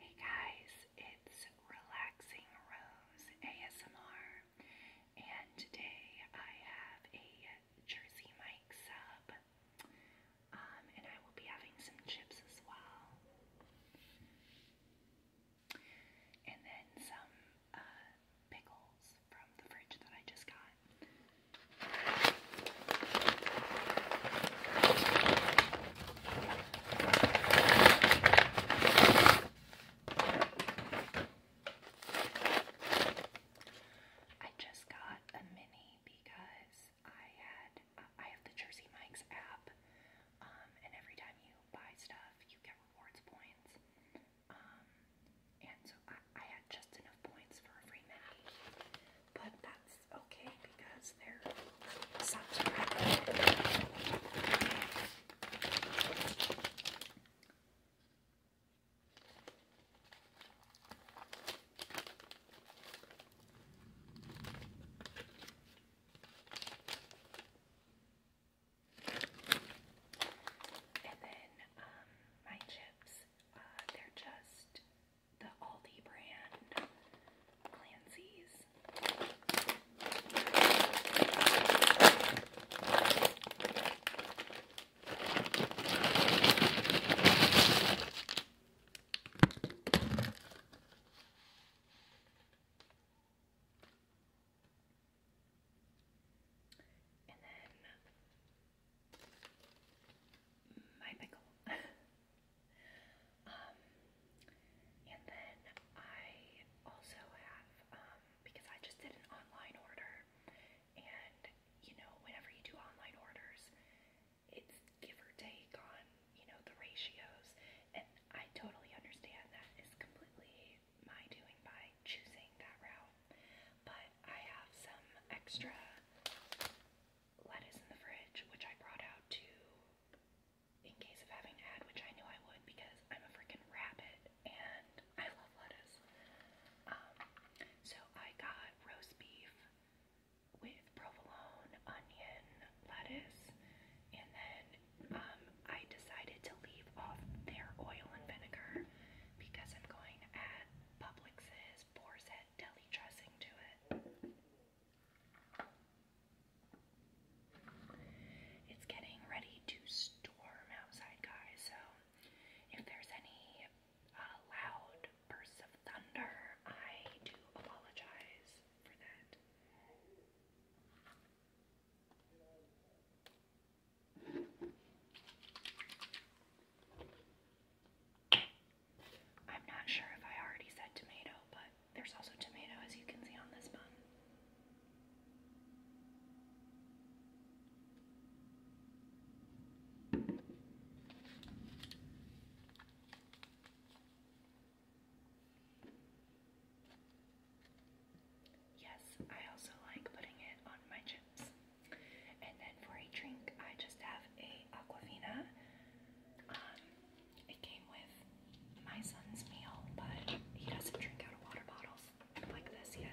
Hey guys, it's Relaxing Rose ASMR, and today I have a Jersey Mike sub, um, and I will be having some chips as well, and then some uh, pickles from the fridge that I just got. I just got a mini because I had I have the Jersey Mike's app, um, and every time you buy stuff, you get rewards points. Um, and so I, had just enough points for a mini, but that's okay because they're subscribed. And then um, my chips, uh, they're just the Aldi brand Clancy's. And then my pickle. um, and then I also have, um, because I just did an online order, and you know, whenever you do online orders, it's give or take on, you know, the ratios, and I totally understand that is completely my doing by choosing that route, but I have some extra lettuce in the fridge, which I brought out to in case of having an ad, which I knew I would because I'm a freaking rabbit and I love lettuce. Um, so I got roast beef with provolone, onion, lettuce, and then um, I decided to leave off their oil and vinegar because I'm going to add Publix's just pours It's getting ready to storm outside, guys, so if there's any uh, loud bursts of thunder, I do apologize for that. I'm not sure if I already said tomato, but there's also tomato as you can see on this bun. Yes, I also like putting it on my chips. And then for a drink, I just have a Aquafina. Um, it came with my son's meal, but he doesn't drink out of water bottles like this yet.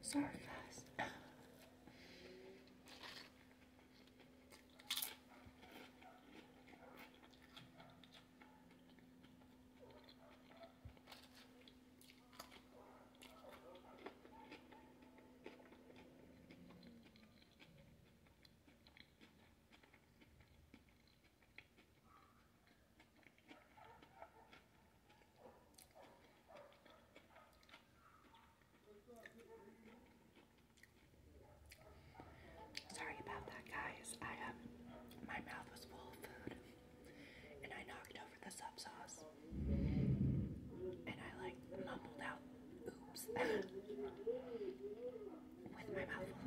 Sorry, guys. Sorry about that, guys. I have um, my mouth was full of food, and I knocked over the sub sauce, and I like mumbled out, "Oops," with my mouth full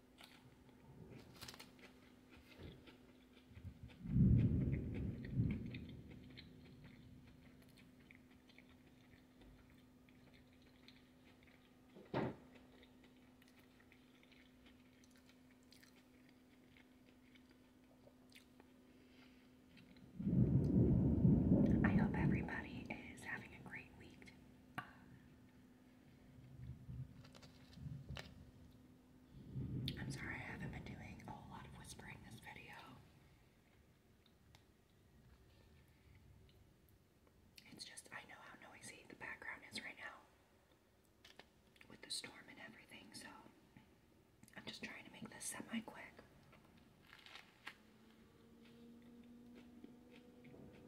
I hope everybody is having a great week. I'm sorry, I haven't been doing a whole lot of whispering this video. It's just, I know how noisy the background is right now with the storm and everything, so I'm just trying to make this semi quick.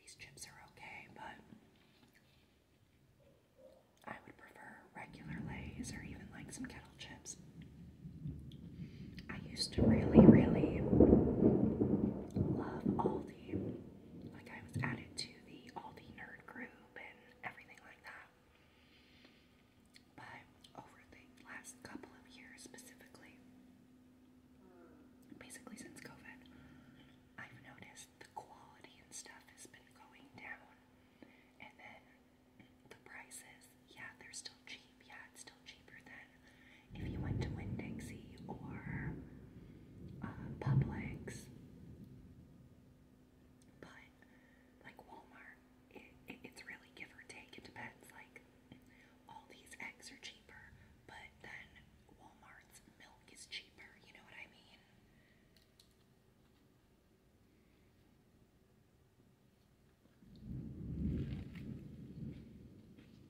These chips are okay, but I would prefer regular Lay's or even like some kettle chips. I used to really, really love all the like I was added to the Aldi nerd group and everything like that. But over the last couple of years specifically, basically since COVID, I've noticed the quality and stuff has been going down. And then the prices, yeah, they're still cheap. Yeah, it's still cheaper than if you went to Winn Dixie or uh, Publix. But like Walmart, it, it, it's really give or take. It depends. Like all these eggs are cheaper, but then Walmart's milk is cheaper. You know what I mean?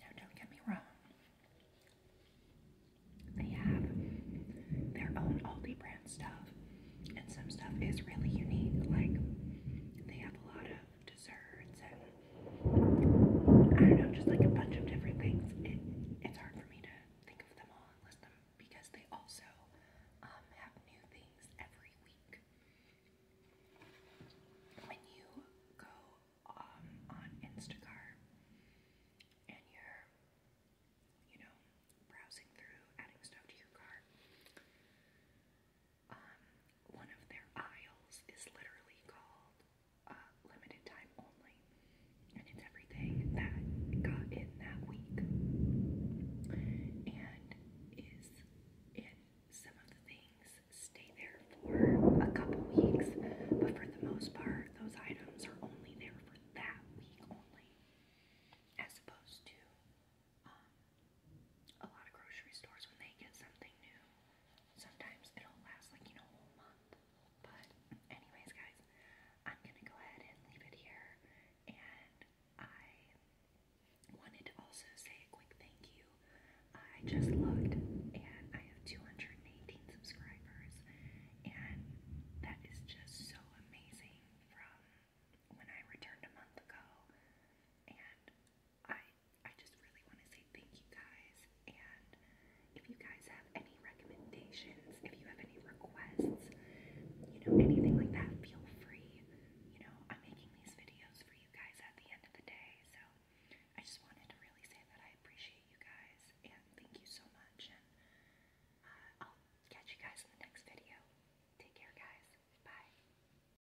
Now, don't get me wrong, they have their own Aldi brand stuff, and some stuff is really unique. Like, they have a lot of desserts and I don't know, just like a bunch of different things. It, it's hard for me to think of them all and list them because they also um, have new things every week. When you go um, on Instacart and you're, you know, browsing through, adding stuff to your cart, um, one of their aisles is literally called uh, limited time only, and it's everything that got in that week, and is in some of the things stay there for a couple weeks, but for the most part, those items are only there for that week only, as opposed to. Um, a lot of grocery stores when they get something new, sometimes it'll last like, you know, a whole month. But anyways, guys, I'm gonna go ahead and leave it here. And I wanted to also say a quick thank you. I just looked and I have 218 subscribers, and that is just so amazing from when I returned a month ago. And I I just really want to say thank you guys. And if you guys have any recommendations, if you have any requests, you know, anything like that, feel free. You know, I'm making these videos for you guys at the end of the day. So I just wanted to really say that I appreciate you guys and thank you so much. And uh, I'll catch you guys in the next video. Take care, guys. Bye.